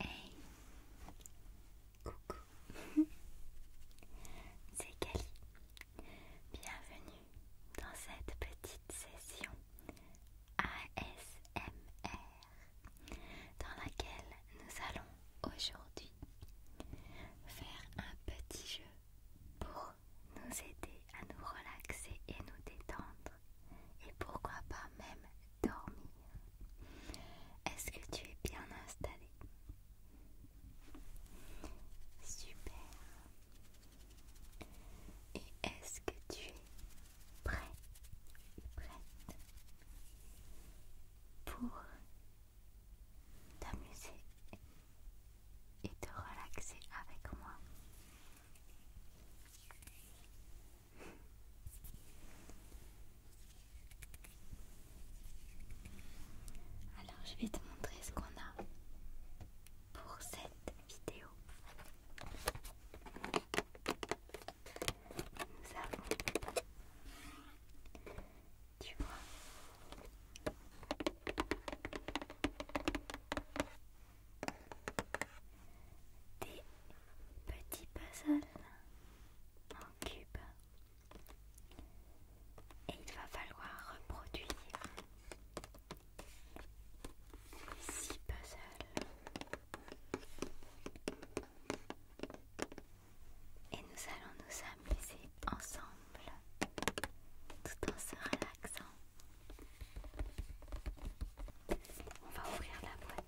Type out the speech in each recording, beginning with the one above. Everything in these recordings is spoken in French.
Hey Coucou C'est Kelly, Bienvenue dans cette petite session ASMR dans laquelle nous allons aujourd'hui faire un petit jeu pour nous aider à nous relaxer et nous détendre et pourquoi pas même dormir. Est-ce que tu es bien installé Super. Et est-ce que tu es prêt, prête pour t'amuser et te relaxer avec moi alors je vais te montrer ce qu'on a pour cette vidéo. tu des petits puzzles en cube et il va falloir reproduire six puzzles et nous allons nous amuser ensemble tout en se relaxant. On va ouvrir la boîte.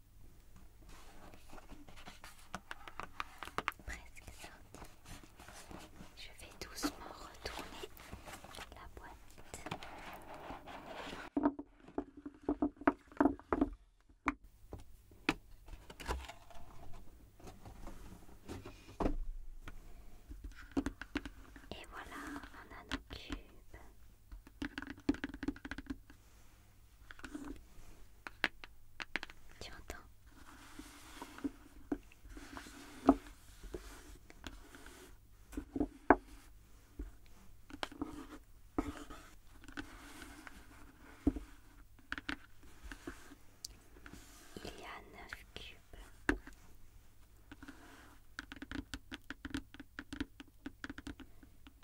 Presque sorti. Je vais doucement retourner la boîte. Et voilà, on a nos cubes. Tu entends Il y a neuf cubes.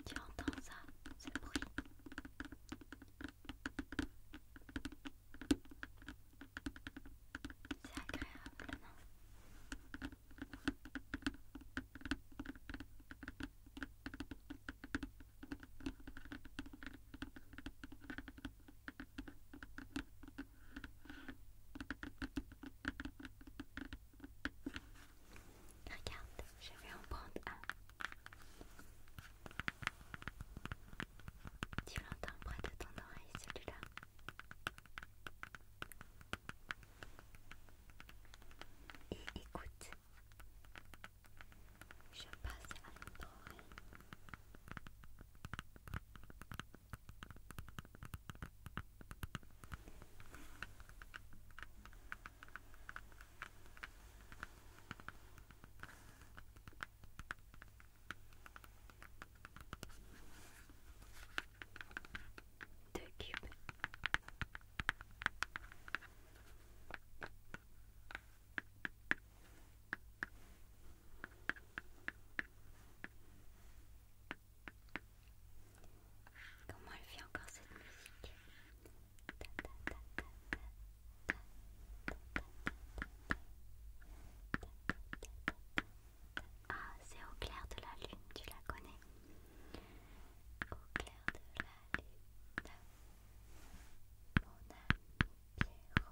Tu entends ça, ce bruit C'est agréable, non Regarde, je vais en prendre un. Tu l'entends près de ton oreille celui-là. Et écoute, je passe à l'autre oreille. Comment elle fait encore cette musique ah, c'est au clair de la lune, tu la connais Au clair de la lune, mon ami prête-moi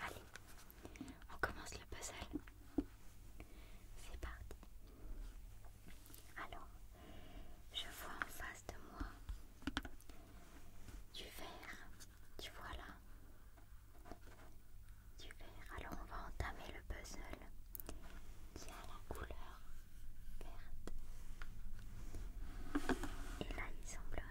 Allez, on commence le puzzle. C'est parti. Alors, je vois en face de moi du vert, Tu vois là Du vert. Alors, on va entamer le puzzle qui a la couleur verte. Et là, il semblerait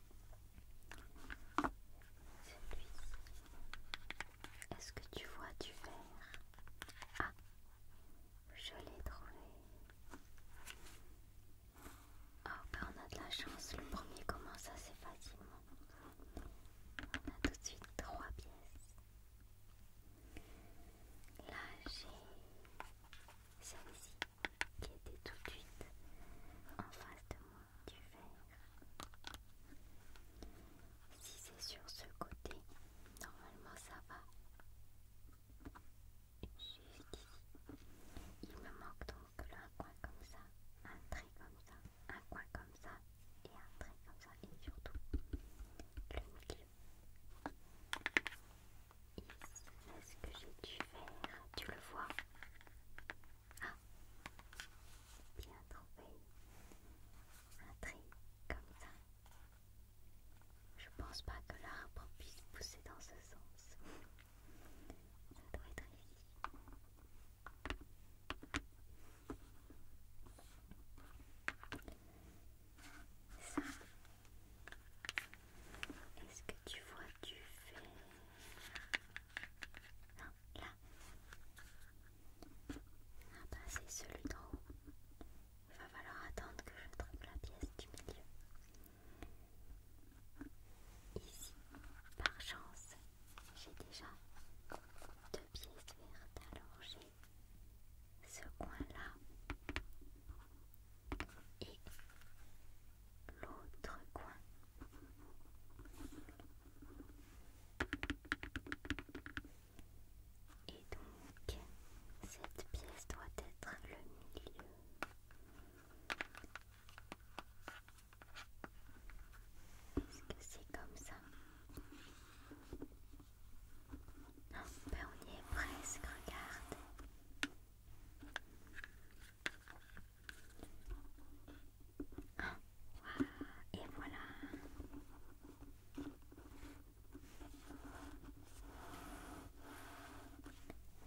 Celui-ci. Est-ce que tu vois du vert Ah, je l'ai trouvé. Oh, ben, on a de la chance, le premier commence assez facilement. On a tout de suite trois pièces. Là, j'ai celle-ci qui était tout de suite en face de moi du verre. Si c'est sur ce côté, normalement ça va. ici Il me manque donc un coin comme ça, un trait comme ça, un coin comme ça et un trait comme ça et surtout le milieu. est-ce que j'ai du verre Tu le vois ah Bien trouvé Un trait comme ça. Je pense pas que l'arbre puisse pousser dans ce sens. Ça doit être ici. Ça. Est-ce que tu vois du fer Non là. Ah bah c'est celui d'en haut. Il va falloir attendre que je trouve la pièce du milieu. Ici, par chance, j'ai déjà deux pièces vertes, alors j'ai ce coin-là et l'autre coin. Et donc, cette pièce doit être le milieu. Est-ce que c'est comme ça ben On y est presque, regarde et voilà.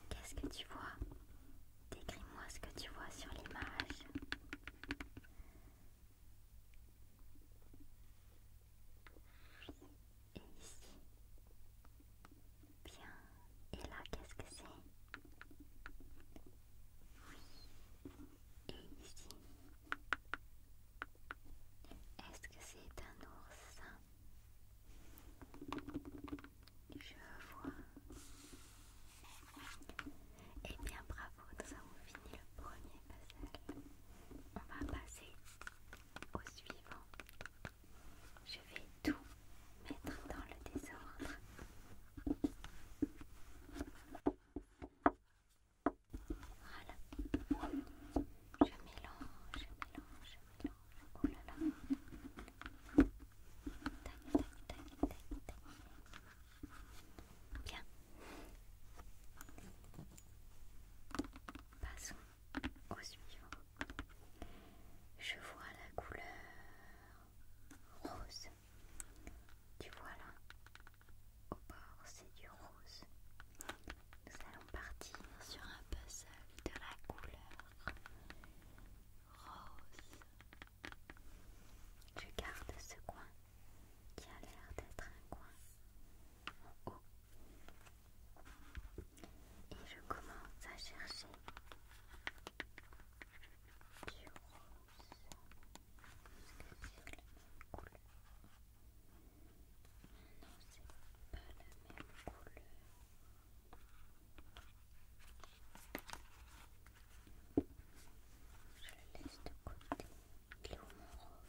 Qu'est-ce que tu vois Décris-moi ce que tu vois sur l'image. Bien. Et là, qu'est-ce que c'est Oui. Et ici Est-ce que c'est un ours Je vois. Eh bien, bravo, nous avons fini le premier puzzle. On va passer au suivant je vais tout mettre dans le désordre. Voilà. Je mélange, je mélange, je mélange. Oh là là. Tac, tac, tac, tac, tac. Bien. Passons au suivant. Je vois la couleur rose. Tu vois là, au bord, c'est du rose. Nous allons partir sur un puzzle de la couleur rose. Je garde ce coin qui a l'air d'être un coin en haut. Et je commence à chercher c'est la même couleur. Non, c'est pas la même couleur. Je laisse de côté. rose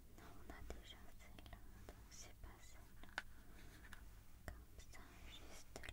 Non, on a déjà celle-là, donc c'est pas celle-là. Comme ça, juste là.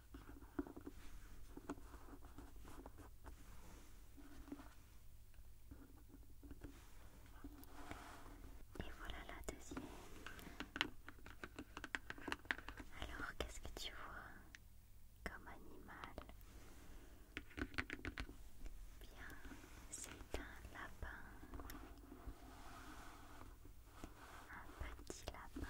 Et voilà la deuxième. Alors, qu'est-ce que tu vois comme animal Bien, c'est un lapin. Un petit lapin.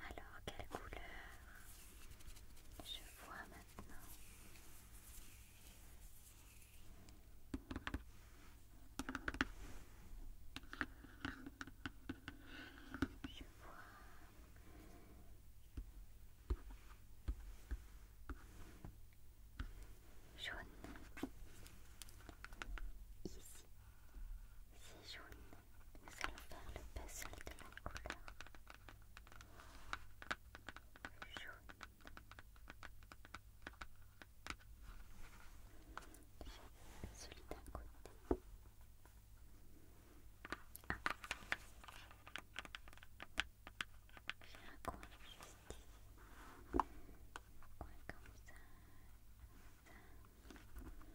Alors, quelle couleur je vois maintenant je vois. Jaune. Ici. C'est jaune. Nous allons faire le puzzle de la couleur jaune. J'ai celui d'un côté. Ah. J'ai un coin juste ici. Un coin comme ça. comme ça.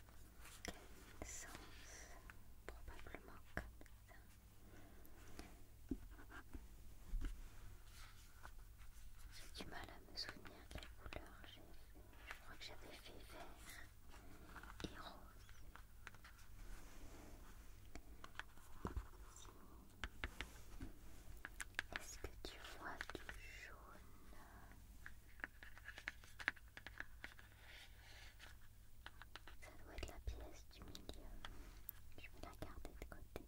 quel sens Probablement comme ça. J'ai du mal à me souvenir quelle couleur j'ai fait. Je crois que j'avais fait vert et rose. Est-ce que tu vois du jaune ça doit être la pièce du milieu. Je vais la garder de côté.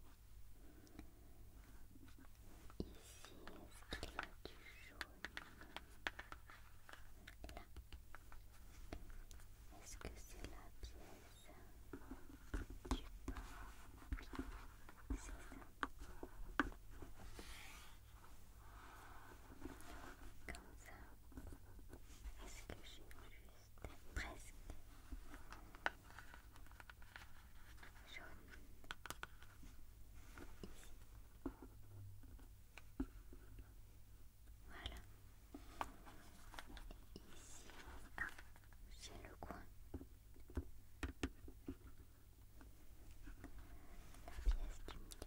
Ici, est-ce qu'il y a du jaune Là. Est-ce que c'est la pièce du pain C'est ça. Comme ça. Est-ce que j'ai juste presque jaune ici Voilà. Ici, ah, j'ai le coin. La pièce du milieu.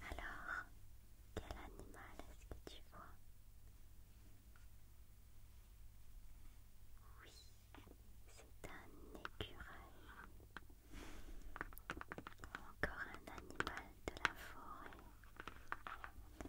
Alors, quel animal est-ce que tu vois Oui, c'est un écureuil. Encore un animal de la forêt. Eh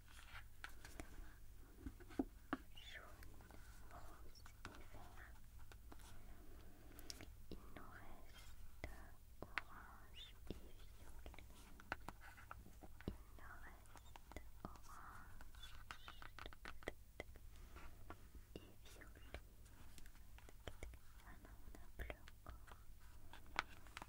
Il nous reste orange et violet. Il nous reste orange et violet. Ah non, on a bleu encore.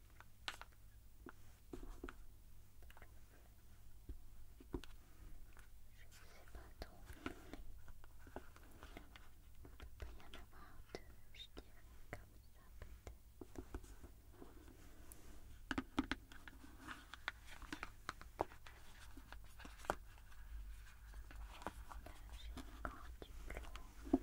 Je ne sais pas trop, mais il peut pas y en avoir deux, je dirais, comme ça peut-être. Là, j'ai encore du clou.